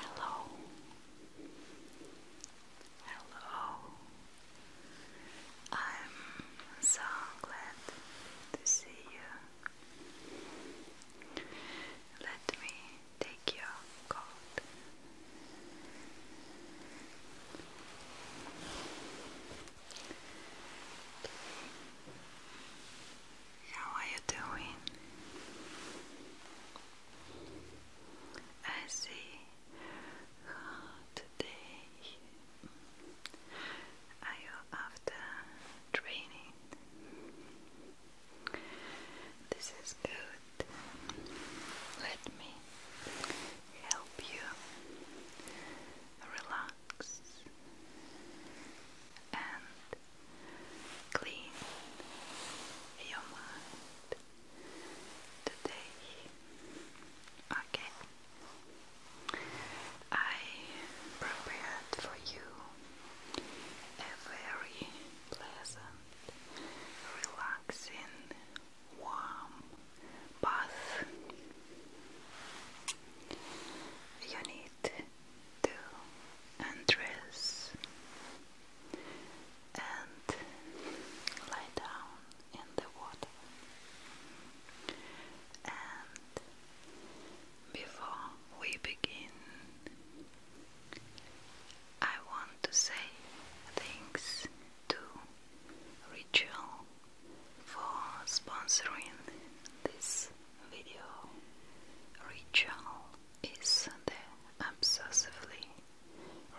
Hello. Hello. I'm so glad to see you. Let me take your coat. How are you doing? I see how today are you after training? This is good. Let me help you relax and clean your mind today. Okay, I prepared for you a very pleasant, relaxing, warm bath. You need to undress and lie down in the water. And before we begin, I want to say thanks to Ritual for sponsoring this video. Ritual is the obsessively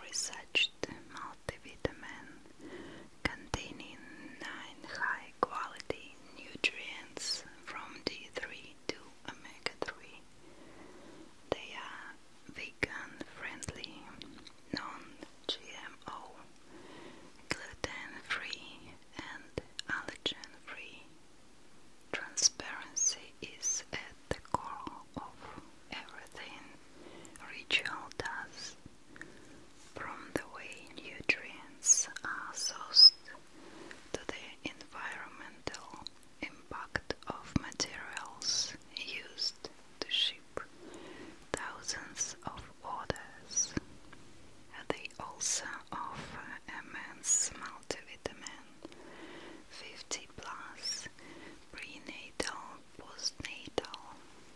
researched multivitamin containing nine high quality nutrients from D3 to omega 3. They are vegan friendly, non GMO, gluten free, and allergen free. Transparency is at the core of everything Ritual does, from the way nutrients are sourced to the environmental impact of materials used to ship thousands of orders. They also offer immense multivitamins vitamin 50 plus prenatal, postnatal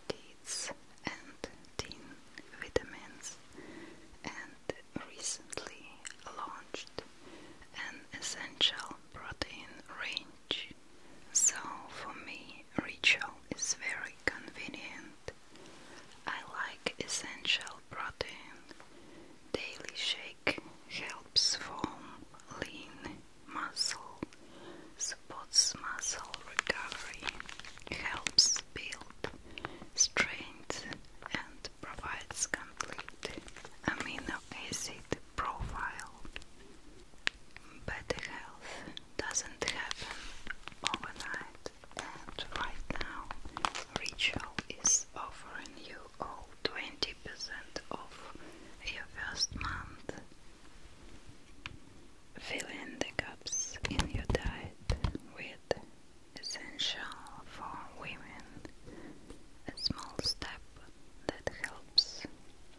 deeds and teen vitamins and recently launched an essential protein range. So for me Ritual is very convenient. I like essential protein daily shake helps form lean muscle, supports muscle recovery, helps build strength, and provides complete amino acid profile. Better health doesn't happen overnight and right now Ritual is offering you all 20% off your first month. Fill the gaps in your diet with Essential for Women, a small step that helps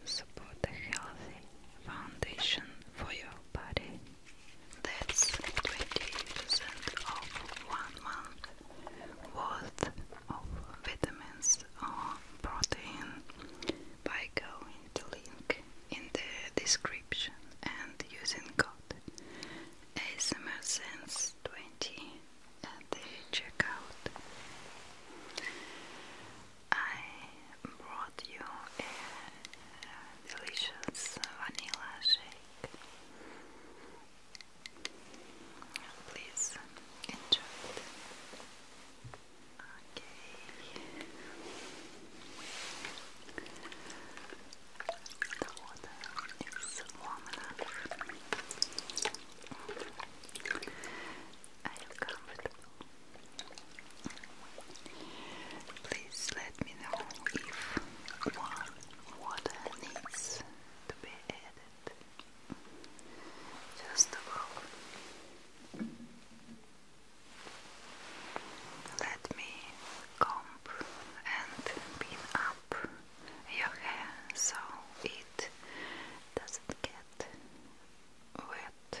support a healthy foundation for your body that's 20% of one month worth of vitamins or protein by going to link in the description and using code ASMRSense20 at the checkout. I brought you a delicious vanilla shake Please enjoy Okay. The water is warm enough. I am comfortable. Please let me know if water needs to be added just above. Let me comb and pin up your hair so it doesn't get wet.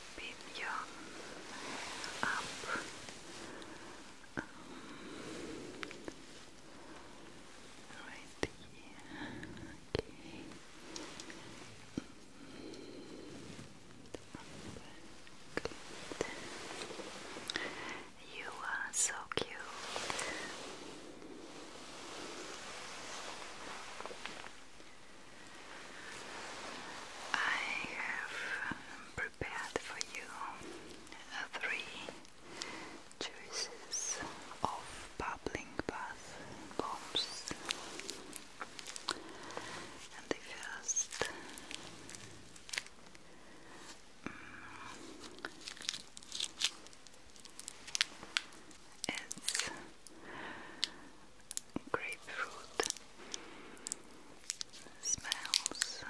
beat you up. right here. Okay. You are so cute. I have um, prepared for you uh, three choices of bubbling bath bombs. And the first mm, grapefruit smells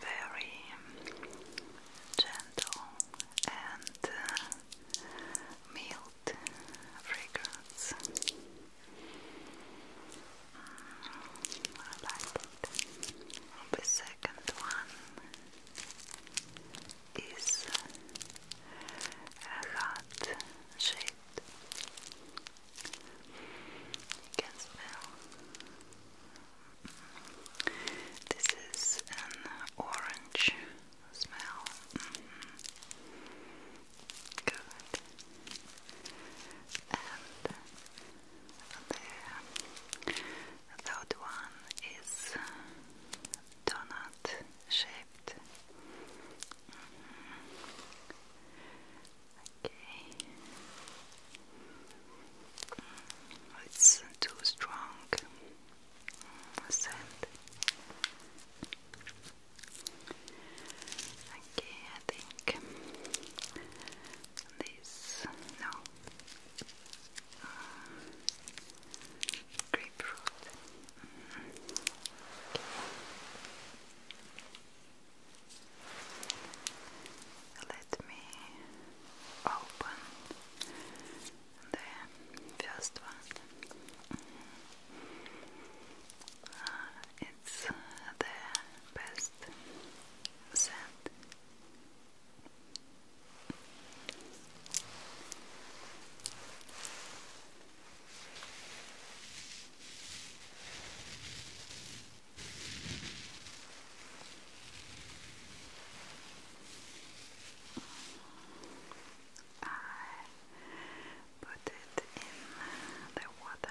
very gentle and uh, mild fragrance. Mm, I like it. The second one is a hot shade. You can smell. This is an orange smell. Mm-hmm. Good. And the third one is donut shape. Okay. it's too strong Okay, I think this no uh, grapefruit. Let me open the first one. Uh, it's the best scent. I put it in the water.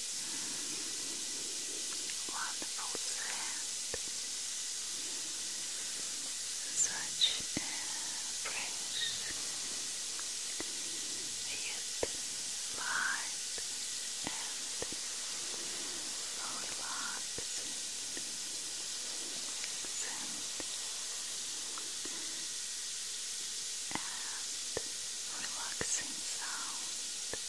wonderful scent, such a fresh yet light and relaxing scent and relaxing sound.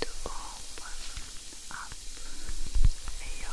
to open up your pores right here your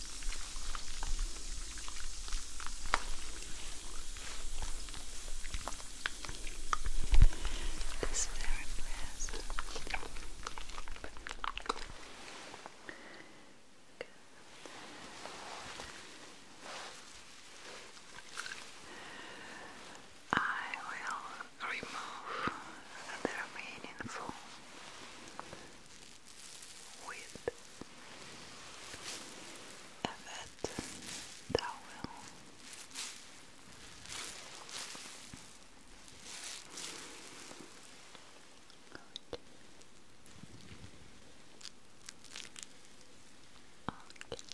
It's very pleasant. I will remove the remaining foam with a wet towel. Good. Okay.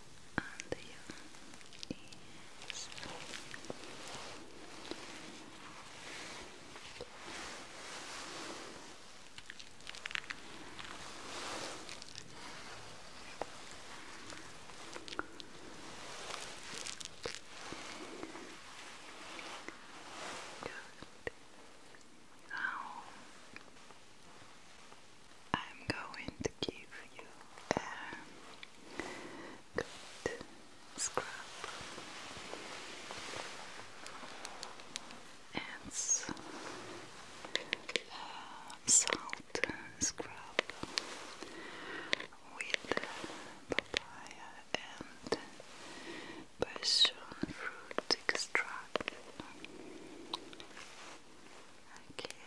and the other is Now I'm going to give you a good scrub. It's salt scrub with papaya and passion fruit extract. Okay.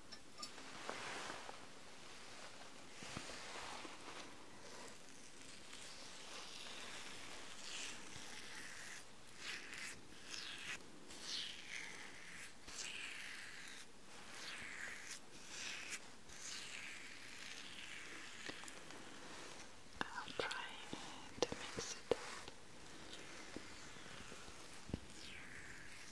I'll try to mix it up.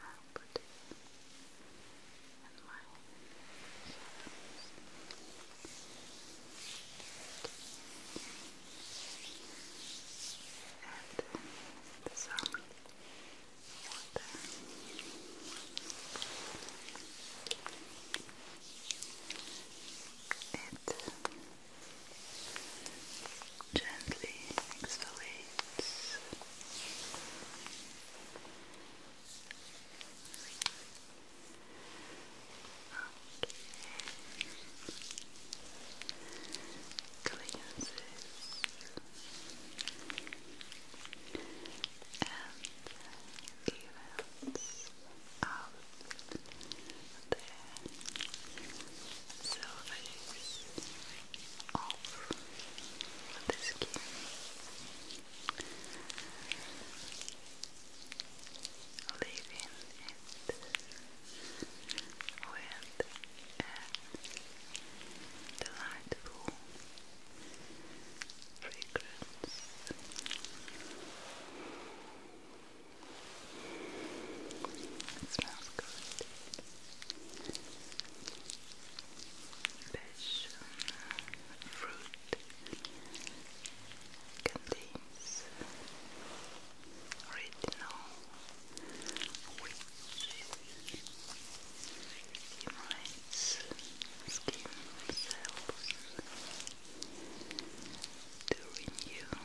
I'll put it in my and some water. It gently exfoliates. Cleanses and evens out there so off the skin. Leaving it with a delightful fragrance. It smells good. Passion fruit contains retinol, which skin cells to renew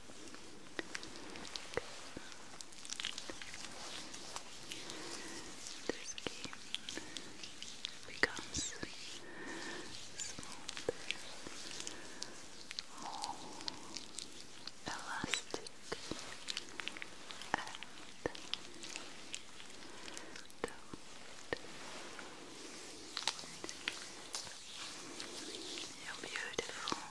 This game becomes smoother, more elastic, you're beautiful.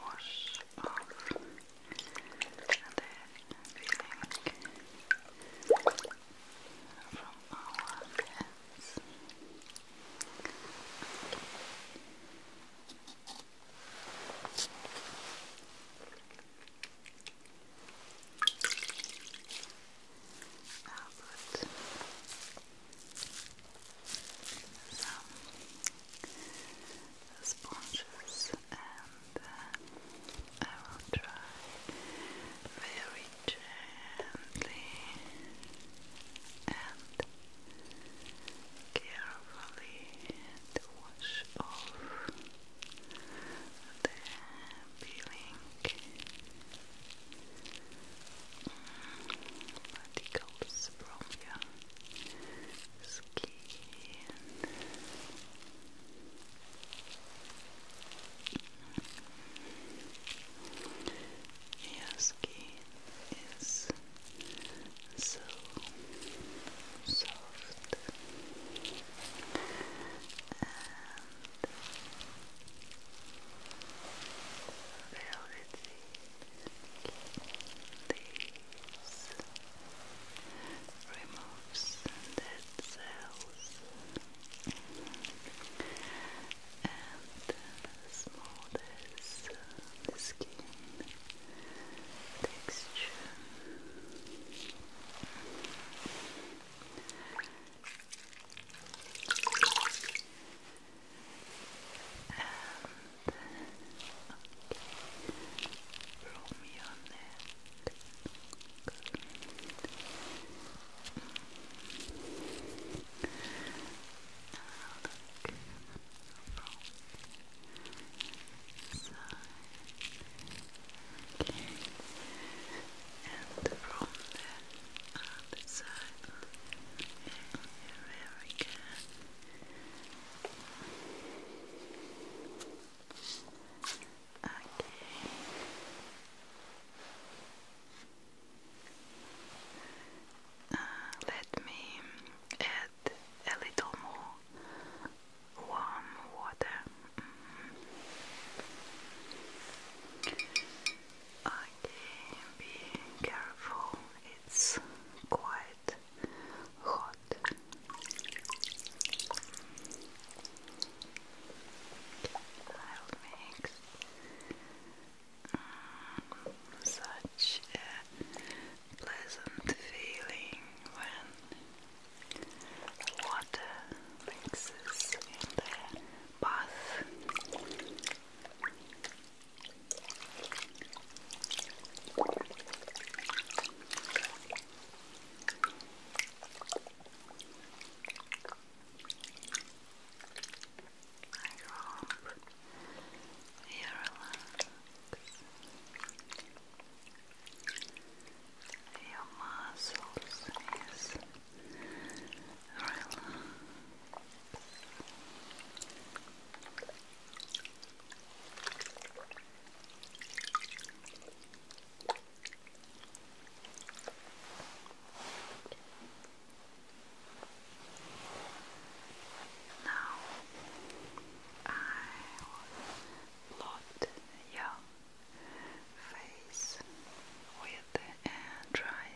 wash off the feeling from our hands. I'll put some sponges and uh, I will try very gently and carefully to wash off the peeling mm, particles from your skin. Your skin is so soft and velvety. This removes dead cells and smooths the skin texture and okay. from your neck Good. And from the other side. Very good. Okay. Uh, let me add a little more warm water. Mm-hmm. Okay, be careful it's quite hot. I'll mm, such a pleasant feeling when water mixes in the bath your muscles is relaxed. Now I will load your face with a dry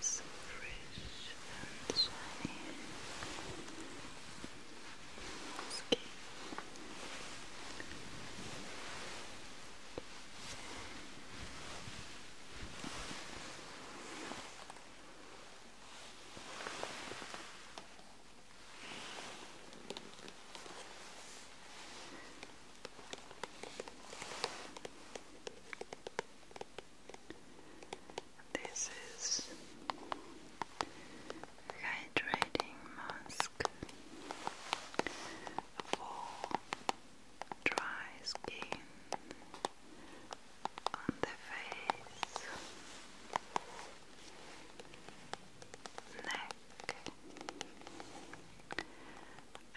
So fresh and shiny skin. Okay. This is hydrating mask for dry skin on the face neck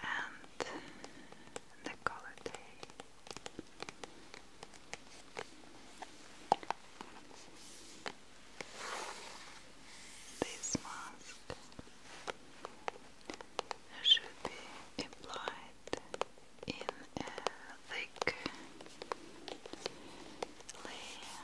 and decollete. This mask should be applied in a thick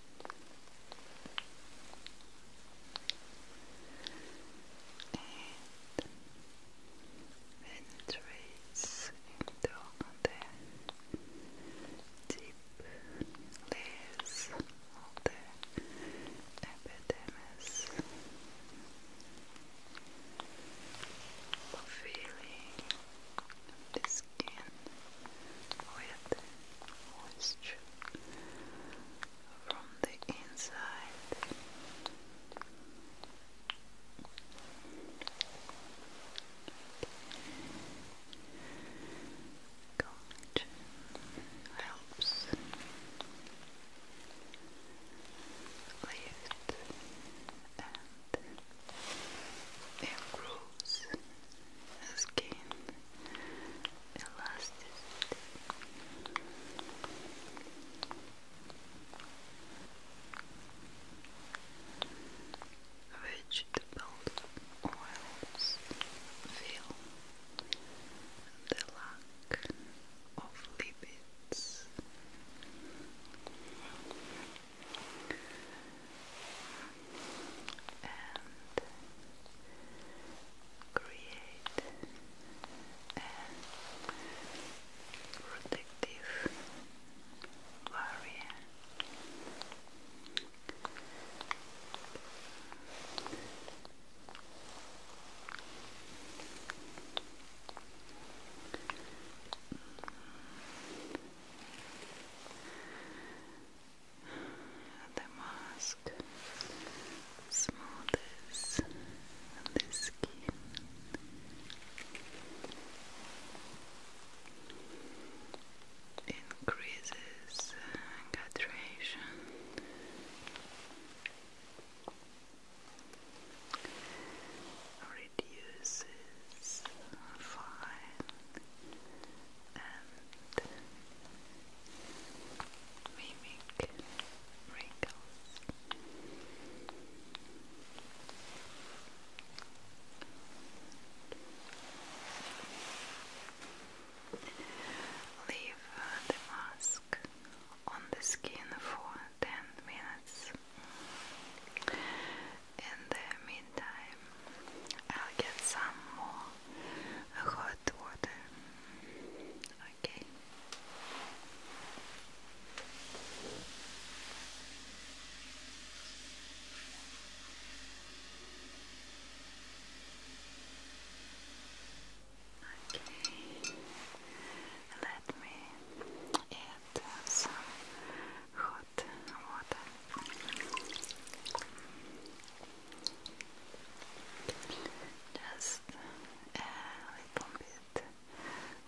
And when deep layers of the feeling the skin with moisture from the inside. Connection helps lift and improves skin elasticity. Vegetable oils fill the lack of lipids. And create a protective barrier the mask smoothes the skin. Increases hydration reduces fine and mimic wrinkles. Leave the mask on the skin for 10 minutes. In the meantime, I'll get some more hot water. Okay. Okay. Let me add some hot water. Just a little bit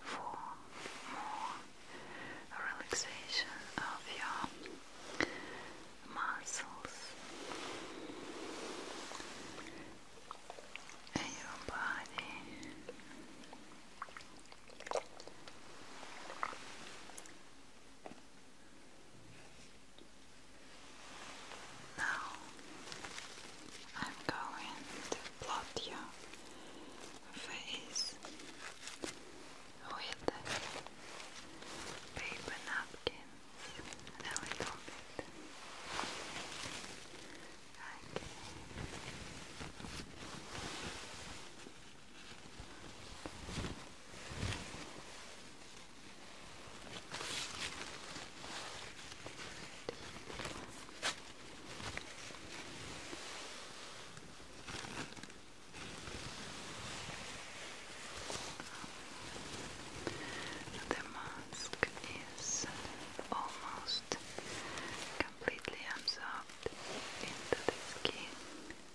for more relaxation of your muscles and your body. Now I'm going to plot your face with paper napkins a little bit. Okay. The mask is almost completely absorbed into the skin.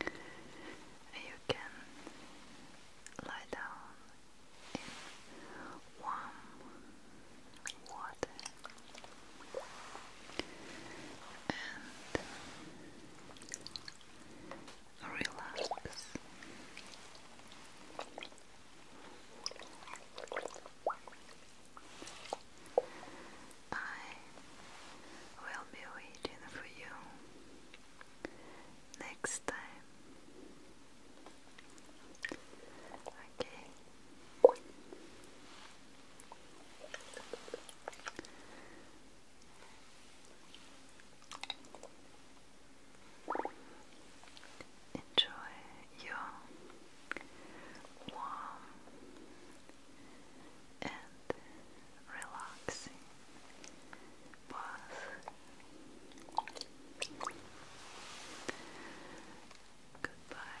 You can lie down in warm water and relax. I will be waiting for you next time. Okay. Enjoy your warm and relaxing bath. Goodbye.